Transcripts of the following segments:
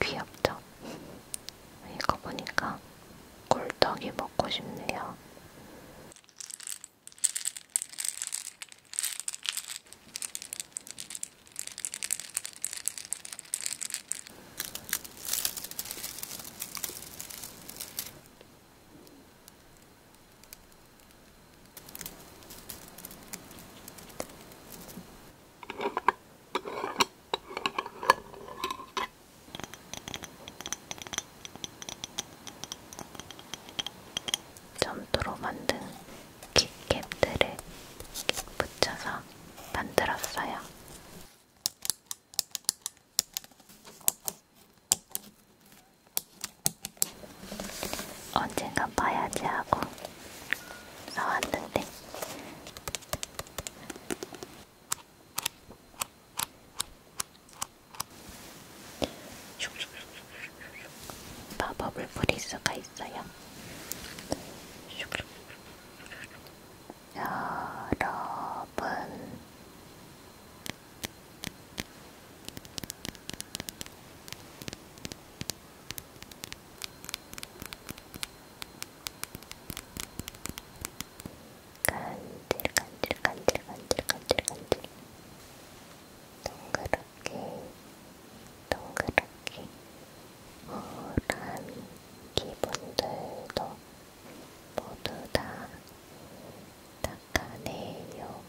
귀엽죠? 이거 보니까 꿀떡이 먹고 싶네요. 점토로 만든 킥캡들을 붙여서 만들었어요. 언젠가 봐야지 하고 사왔는데 마법을 부릴 수가 있어요. 여러분, 간질 간질 간질 간질 간질 동그랗게 동그랗게 호람이 기분들도 모두 다 닦아내요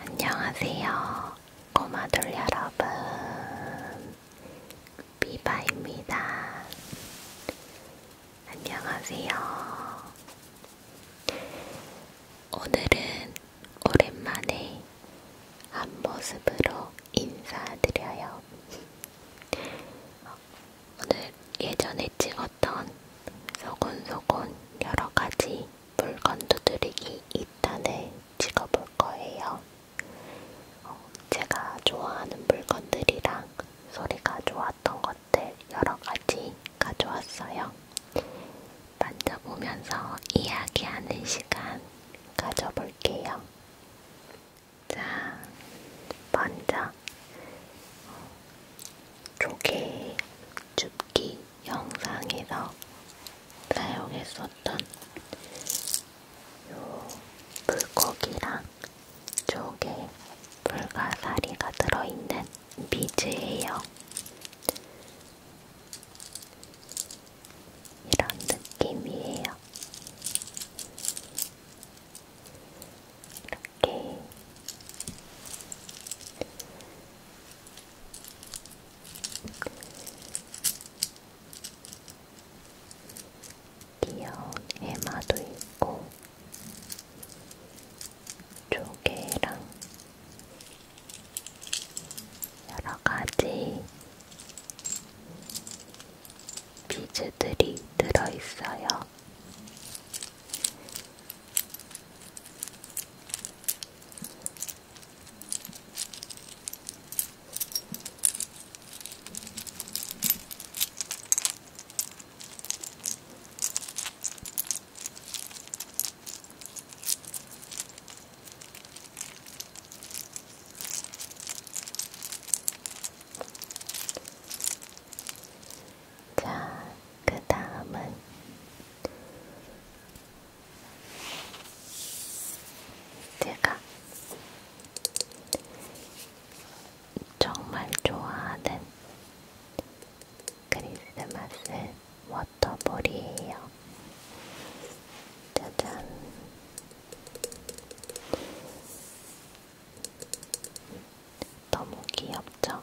안녕하세요 꼬마돌 여러분, 비바입니다. 안녕하세요. 오늘은 오랜만에 한 모습으로 인사드려요. 오늘 예전에 찍었던 소곤소곤 여러 가지 물건도 드리기 있다는 찍어볼 거예요. 어, 제가 좋아하는 물건들이랑 소리가 좋았던 것들 여러 가지 가져왔어요. 만져보면서 이야기하는 시간 가져볼게요. 자, 먼저 어, 조개 줍기 영상에서 사용했었던 요 불고기랑 쪽에 불가사리가 들어있는 미즈예요. 이런 느낌이에요. 이렇게 귀여운 해마도 있고 조개랑 여러가지 비즈들이 들어있어요. 자, 그 다음은 제가 정말 좋아하는 크리스마스 워터볼이에요. 짜잔. 너무 귀엽죠?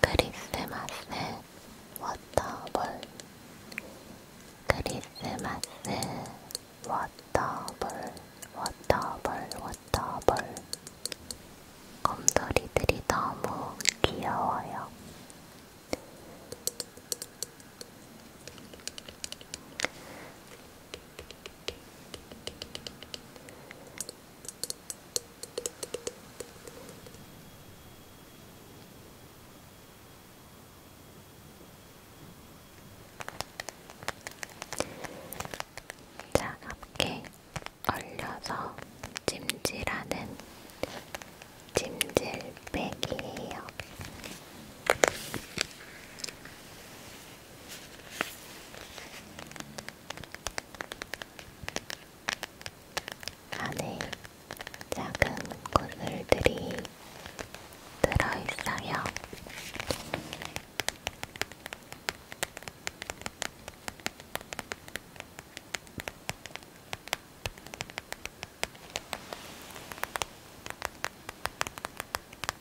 크리스마스 워터볼 크리스마스 워터볼 워터볼 워터볼 곰돌이들이 너무 귀여워요. 차갑게 얼려서 찜질하는 찜질팩이에요. 안에 작은 고물들이 들어있어요.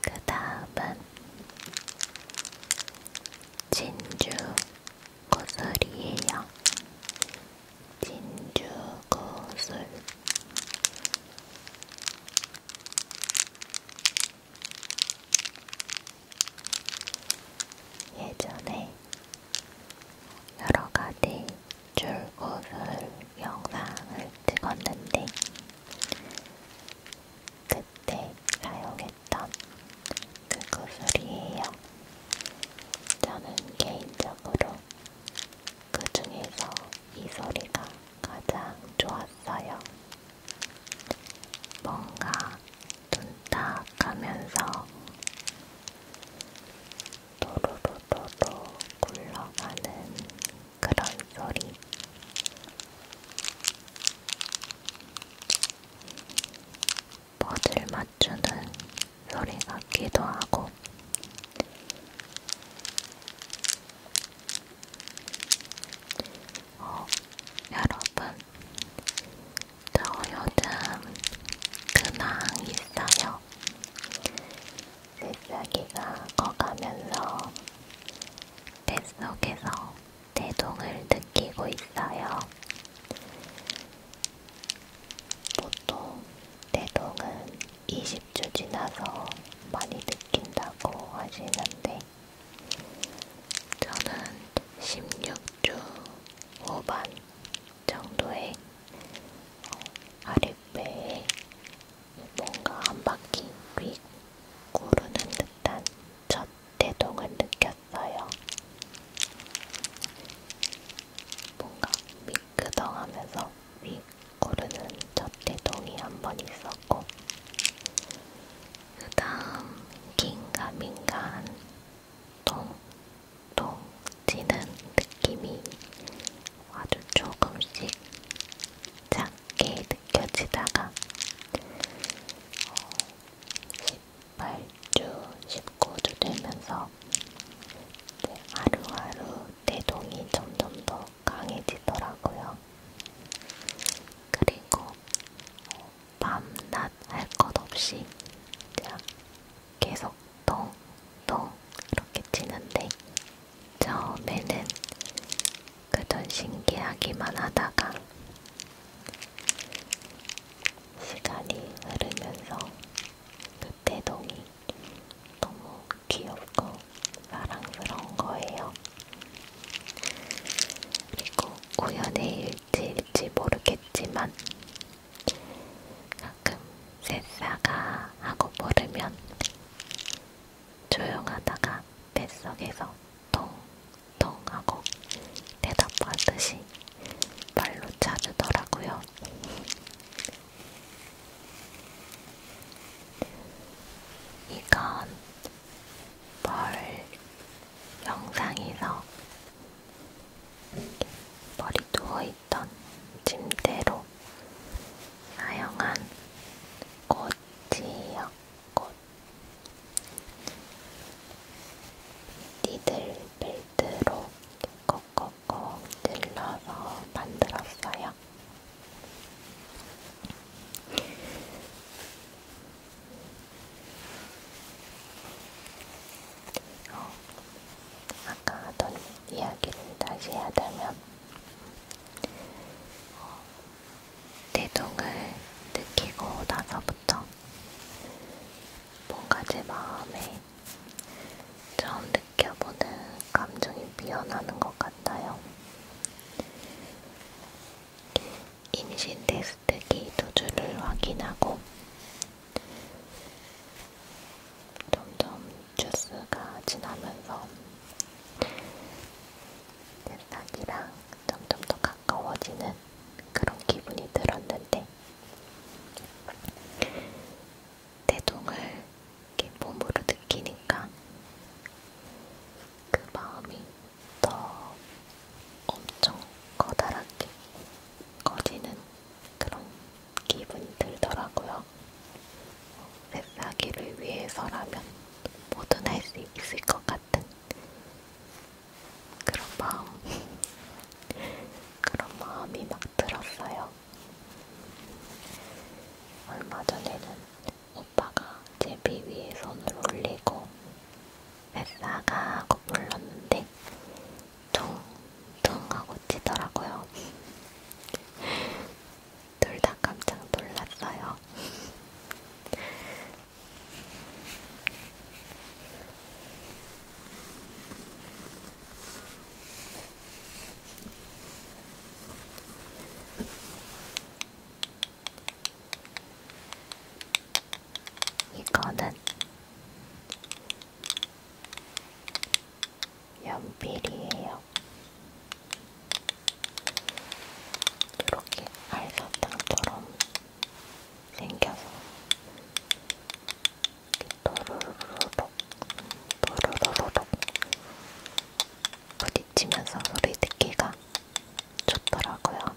그 다음은 진주 고술이에요. 진주 고술. 예전에 여러가지 줄구슬 영상을 찍었는데 그때 사용했던 그 구슬이에요. 저는 개인적으로 그 중에서 이 소리가 가장 좋았어요. 뭔가 둔탁하면서 도로로도로 굴러가는 그런 소리. 퍼즐 맞추는 소리 같기도 하고, 어, 여러분, 저 요즘 근황 있어요. 새싹이가 커가면서 뱃속에서 대동을 느끼고 있어요. 보통 대동은 20주 지나서 많이 느낀다고 하시는데 저는 16주 후반 정도에 어, 아랫배에 뭔가 한 바퀴 휙 구르는 듯한 첫 대동을 느꼈어요. 뭔가 미끄덩하면서 휙 구르는 첫 대동이 한 번 있었고 그 다음 긴가민가한 통통 찌는 느낌이 아주 조금씩 작게 느껴지다가 18주, 어, 19주 되면서 하루하루 대동이 점점 더 강해지더라고요. 그리고 어, 밤낮 할 것 없이 그냥 계속 똥똥 이렇게 치는데 처음에는 그전 신기하기만 하다가 시간이 흐르면서 그대동이 너무 귀엽고 사랑스러운 거예요. 그리고 우연의 될지 모르겠지만 가끔 새사가 하고 모르면 조용하다가 뱃속에서 통통 하고 대답하듯이 발로 찾으더라고요. 이건 벌 영상에서 머리 누워있던 침대로 사용한 꽃이요, 꽃. 니들 벨트로 꼭꼭꼭 찔러서 만들었어요. 어, 아까 하던 이야기를 다시 하자면 어, 대동을 느끼고 나서부터 뭔가 제 마음에 처음 느껴보는 감정이 피어나는 것 같아요. 임신됐을 뜨기 도주를 확인하고 점점 주스가 지나면서 새싹이랑 점점 더 가까워지는 그런 기분이 들었는데 대동을 이렇게 몸으로 느끼니까 그 마음이 더 엄청 커다랗게 커지는 그런 기분 들더라고요. 새싹이를 위해서라면 뭐든 할 수 있을 것 같은 그런 마음, 그런 마음이 막 들었어요. 얼마 전에는 오빠가 제비 위에 손을 올리고 뱃사가고 불렀는데 퉁퉁하고 치더라고요. 둘 다 깜짝 놀랐어요. 이거는 연필이에요. 이렇게 알사탕처럼 생겨서 또르르륵 또르르륵 부딪히면서 소리 듣기가 좋더라고요.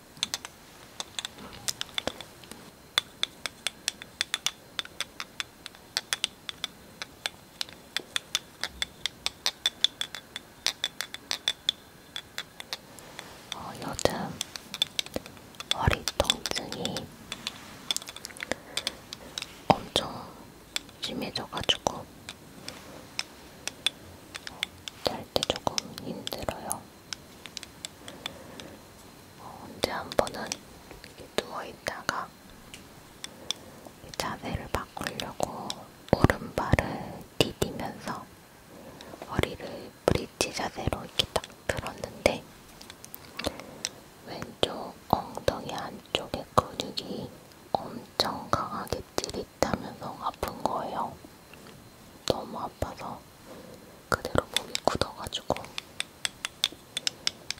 어, 요즘 머리 통증이 엄청 심해져가지고 어, 잘때 조금 힘들어요. 언제 어, 한 번은 누워있다가 이 자세를 바꾸려고 오른발을 디디면서 허리를 브릿지 자세로 이렇게 딱 들었는데 왼쪽 엉덩이 안쪽에 근육이 엄청 강하게 찌릿다면서 아픈 거예요. 너무 아파서 그대로 몸이 굳어가지고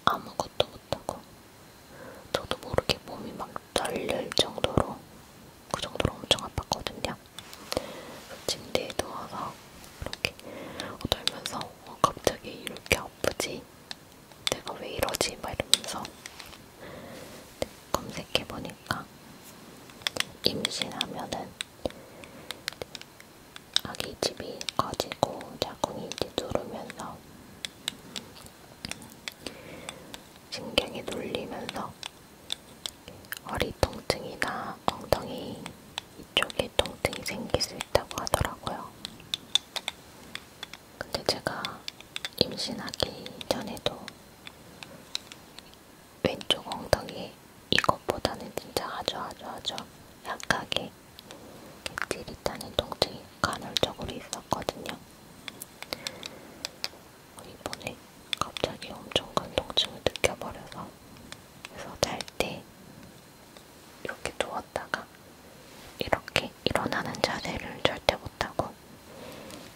아무것도 못하고 저도 모르게 몸이 막 떨릴 정도로 그 정도로 엄청 아팠거든요. 침대에 누워서 이렇게 떨면서 어, 갑자기 이렇게 아프지? 내가 왜 이러지? 막 이러면서 검색해보니까 임신하면은 아기 집이 커지고 자궁이 뒤두르면서 신경이 눌리면서 허리 통증이나 엉덩이 이쪽에 통증이 생길 수 있다고 하더라고요. 근데 제가 임신하기 전에도 왼쪽 엉덩이 이것보다는 진짜 아주 아주 아주 약하게 객지리타는 통증이 간헐적으로 있었거든요. 어, 이번에 갑자기 엄청 큰 통증을 느껴버려서 그래서 잘 때 이렇게 누웠다가 이렇게 일어나는 자세를 절대 못하고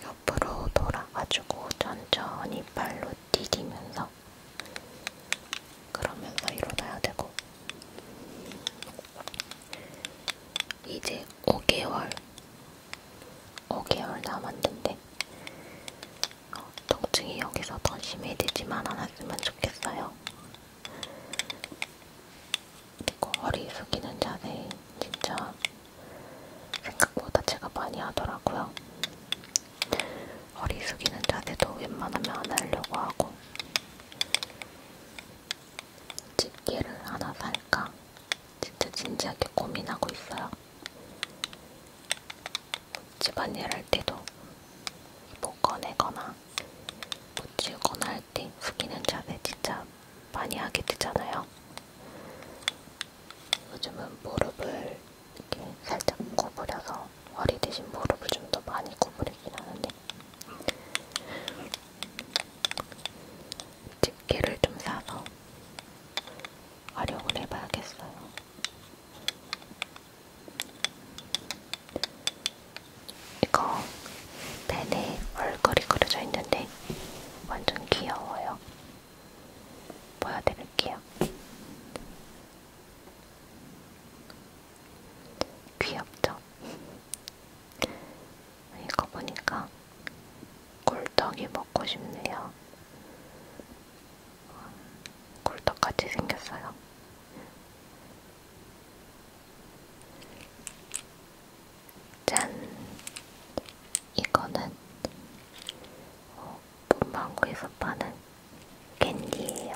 옆으로 돌아가지고 천천히 발로 디디면서 그러면서 일어나야 되고 이제 5개월 5개월 남았는데 어, 통증이 여기서 더 심해지지만 않았으면 좋겠어요. 그리고 허리 숙이는 자세 진짜 생각보다 제가 많이 하더라고요. 허리 숙이는 자세도 웬만하면 안 하려고 하고 집게를 하나 살까 진짜 진지하게 고민하고 있어요. 집안일 할 때도 뭐 꺼내거나 붙이거나 할 때 숙이는 자세 진짜 많이 하게 되잖아요. 요즘은 무릎을 이렇게 살짝 구부려서 허리 대신 무릎을 좀 더 많이 구부리긴 하는데 집게를 좀 사서 활용을 해봐야겠어요. 이거 펜에 얼굴이 그려져 있는데 완전 귀여워요. 보여드릴게요. 귀엽죠? 이거 보니까 꿀떡이 먹고 싶네요. 꿀떡같이 생겼어요. 짠! 이거는 어, 봄망고에서 파는 캔디예요.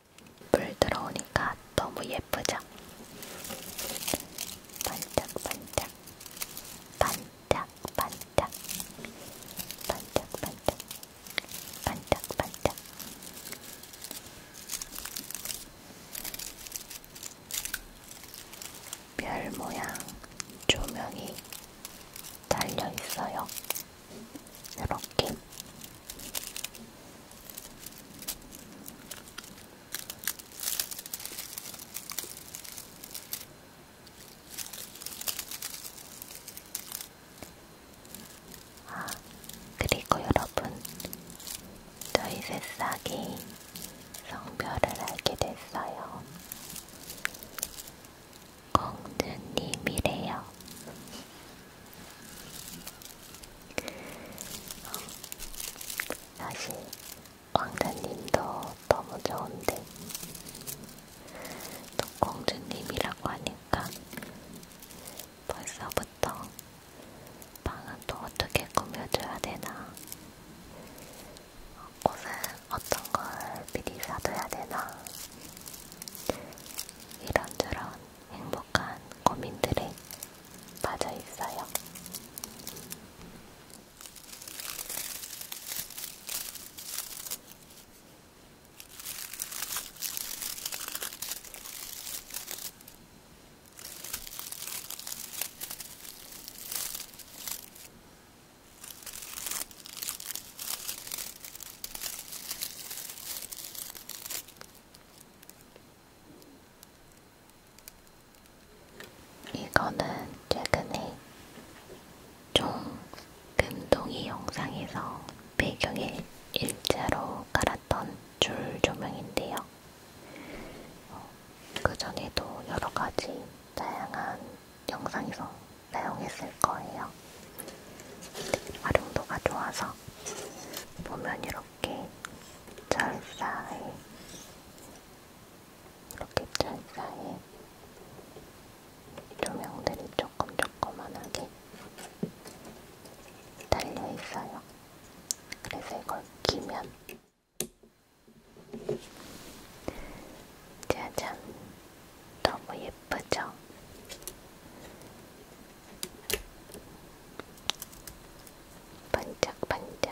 물 들어오니까 너무 예쁘죠? 반짝반짝 반짝반짝 반짝반짝 반짝반짝 별 모양 조명이 달려 있어요. 이렇게 아, 그리고 여러분, 저희 새싹이 성별을 알게 됐어요. 공주님이래요. 사실 왕자님도 너무 좋은데 또 공주님이라고 하니까 벌써부터 방은 또 어떻게 꾸며줘야 되나 옷은 어떤 걸 미리 사둬야 되나 이런저런 행복한 고민들에 빠져 있어요. 이거는 최근에 종 금동이 영상에서 배경에 일자로 깔았던 줄 조명인데요. 어, 그 전에도 여러 가지 다양한 영상에서 사용했을 거예요. 활용도가 좋아서 보면 이렇게 이렇게 철사에 이렇게 철사에 조명들이 조금 조그만하게 달려있어요. 그래서 이걸 끼면 짜잔! 너무 예쁘죠? 반짝반짝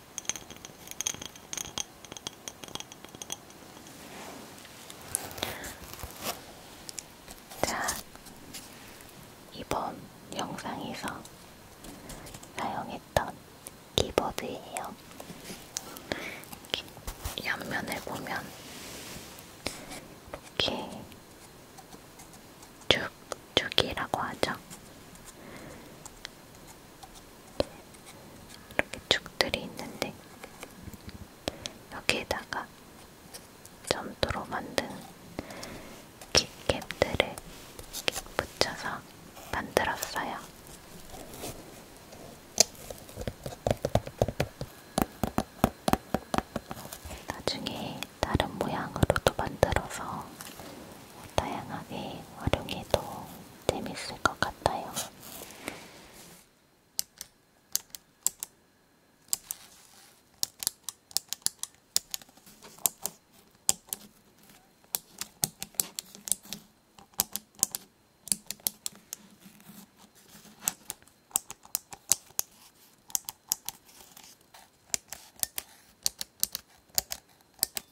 자, 이번 영상에서 사용했던 키보드예요. 옆면을 보면 이렇게 쭉쭉이라고 하죠. 이렇게 축들이 있는데 여기에다가 점토로 만든 킥캡들을 붙여서 만들었어요. 나중에 다른 모양으로도 만들어서 다양하게 활용해도 재밌을 것 같아요.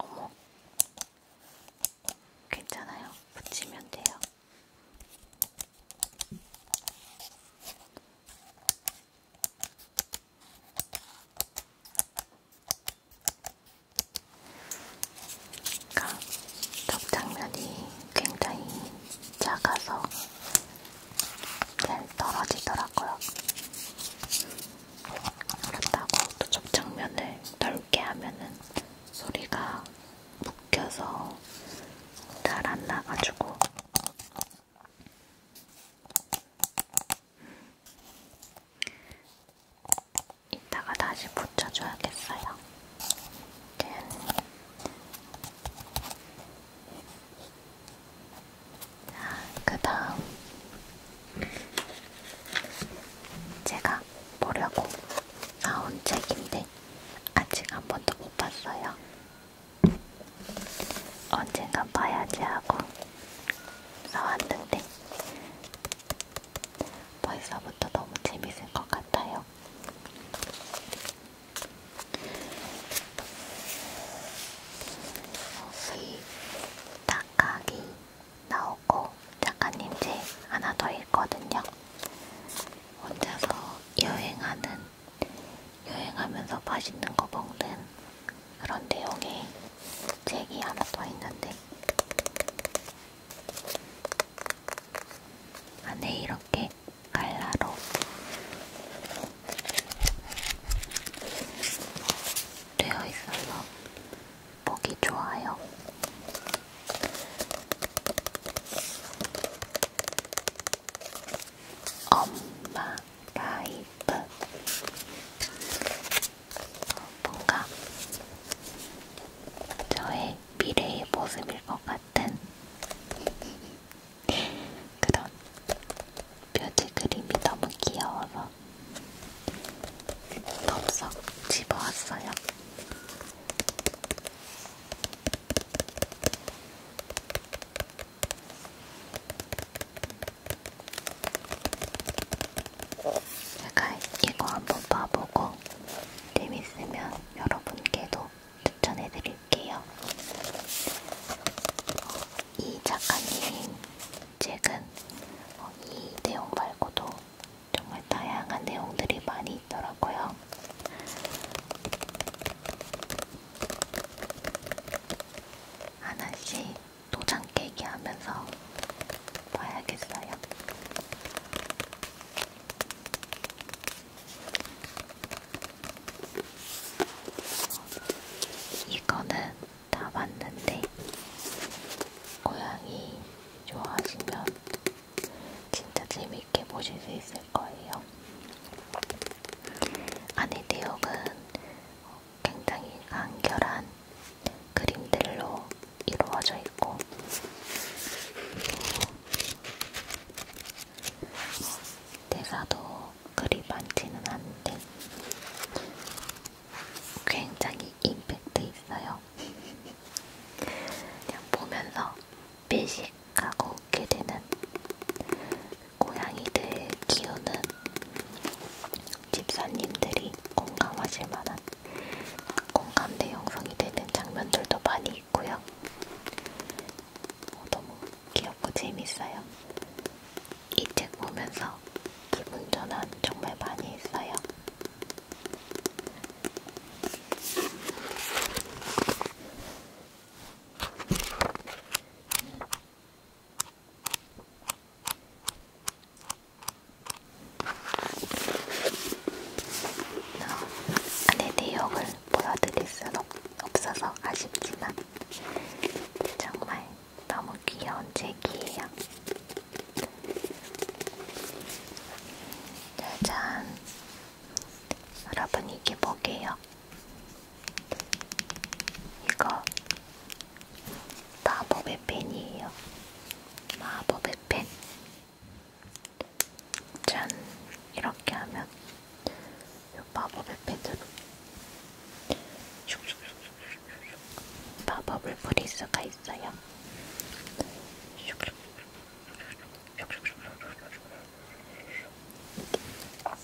어머, 괜찮아요. 붙이면 돼요. 그러니까 접장면이 굉장히 작아서 잘 떨어지더라고요. 그렇다고 또 접장면을 넓게 하면은 소리가 묶여서 잘 안 나가지고 이따가 다시 붙여줘야겠어요. 짠. 자, 그 다음. 제가 보려고 나온 책인데 아직 한 번도 못 봤어요. 언젠가 봐야지 하고 나왔는데 벌써부터 너무 재밌을 것 같아요. 혹시 딱하기 나오고 작가님 제 하나 더 있거든요. 혼자서 여행하는 여행하면서 맛있는 거 먹는 그런 내용의 책이 하나 더 있는데 안에 아, 네, 이렇게 갈라로 되어 있어서 보기 좋아요. 엄마 파이프 뭔가 저의 미래의 모습일 것 같은 그런 묘지 그림이 너무 귀여워서 덥석 집어왔어요. 제가 이거 한번 봐보고 재밌으면 여러분께도 추천해드릴게요. 어, 이 작가님 책은 어, 이 내용 말고도 정말 다양한 내용들이 많이 있더라고요. 하나씩 도장 깨기 하면서 봐야겠어요. 이거는 다 봤는데 고양이 좋아하시면 진짜 재밌게 보실 수 있을 거예요. 안에 내용은 굉장히 간결한 그림들로 이루어져 있고 대사도 그리 많지는 않은데 굉장히 임팩트 있어요. 그냥 보면서 미식하고 웃게 되는 고양이들 키우는 집사님들이 공감하실 만한 공감대 형성이 되는 장면들도 많이 있고요. 어, 너무 귀엽고 재밌어요. 이 책 보면서 기분 전환 정말 많이 했어요. 안에 네, 내역을 보여드릴 순 없, 없어서 아쉽지만 정말 너무 귀여운 책이에요. 짜잔! 여러분 이게 뭐게요? 이거 마법의 펜이에요. 마법의 펜. 짠! 이렇게 하면 이 마법의 펜으로 마법을 뿌릴 수가 있어요.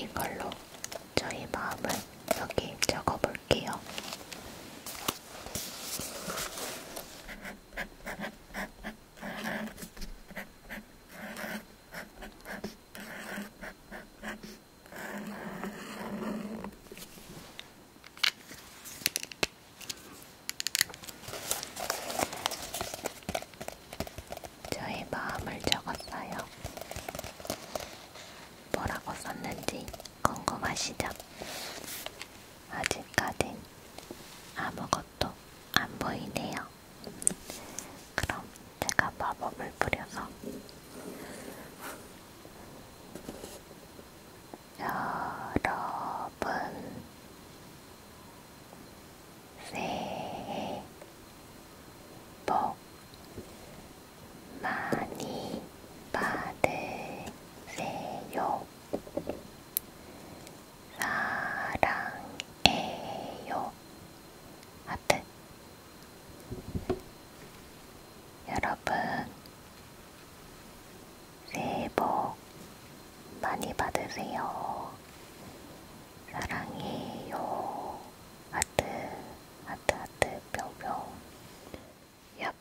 이걸로 저희 마음을 여기 적어볼게요. 저의 마음을 적었어요. 뭐라고 썼는지 궁금하시죠? 아직까진 아무것도 안 보이네요. 그럼 제가 마법을 뿌려서 여러분 새해 복 많이 받으세요. 사랑해요. 하트. 여러분, 새해 복 많이 받으세요. 사랑해요. 하트, 하트, 하트, 뿅뿅. 얍.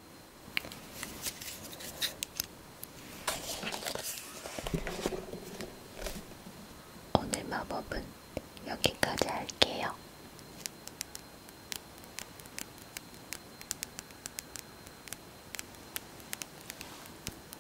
오늘 마법은 여기까지 할게요.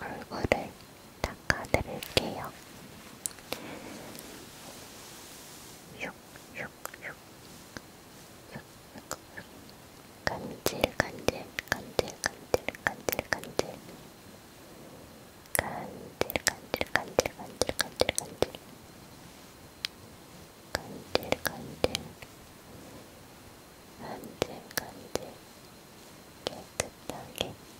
얼굴을 닦아드릴게요. 슉슉슉 간질간질 간질간질 간질간질 간질간질 간질간질 간질간질 간질간질 간질간질 깨끗하게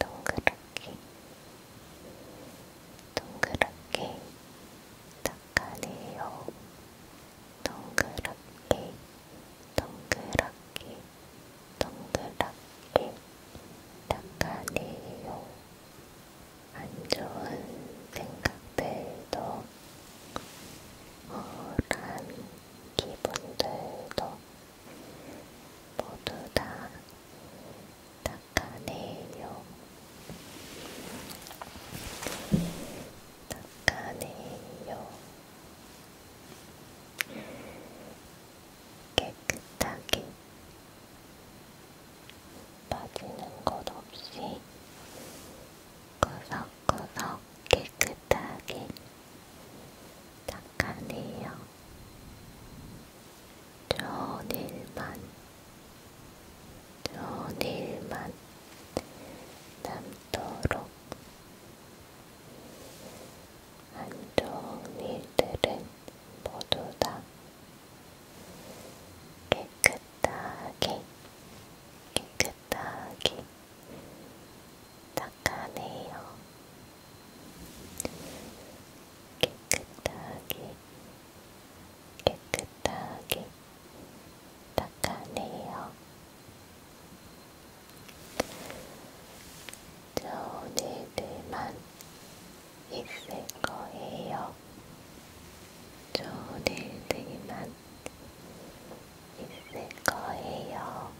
동그랗게 동그랗게 닦아내요 동그랗게 동그랗게 동그랗게 닦아내요 안 좋은 생각들도 우울한 기분들도 모두 다 닦아내요. 닦아내요. 깨끗하게 빠지는 것 없이 구석구석 깨끗하게 닦아내요. 전일만, 전일만 남도록 안쪽 일들은 모두 다 깨끗하게, 깨끗하게 닦아내요. 깨끗하게 깨끗하게 닦아내요. 좋은 일들만 있을 거예요. 좋은 일들만 있을 거예요.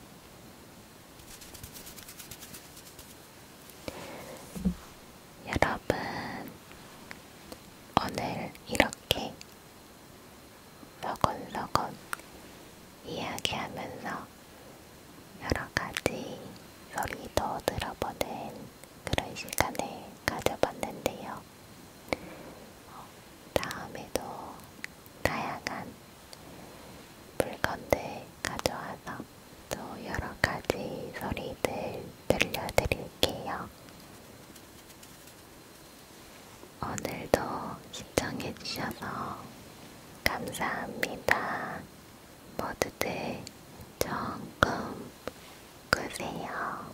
여러분, 오늘 이렇게 서건서건 이야기하면서 여러가지 소리도 들어보는 그런 시간을 가져봤는데요. 다음에도 다양한 물건들 가져와서 또 여러 가지 소리들 들려드릴게요. 오늘도 시청해주셔서 감사합니다. 모두들 좋은 꿈 꾸세요.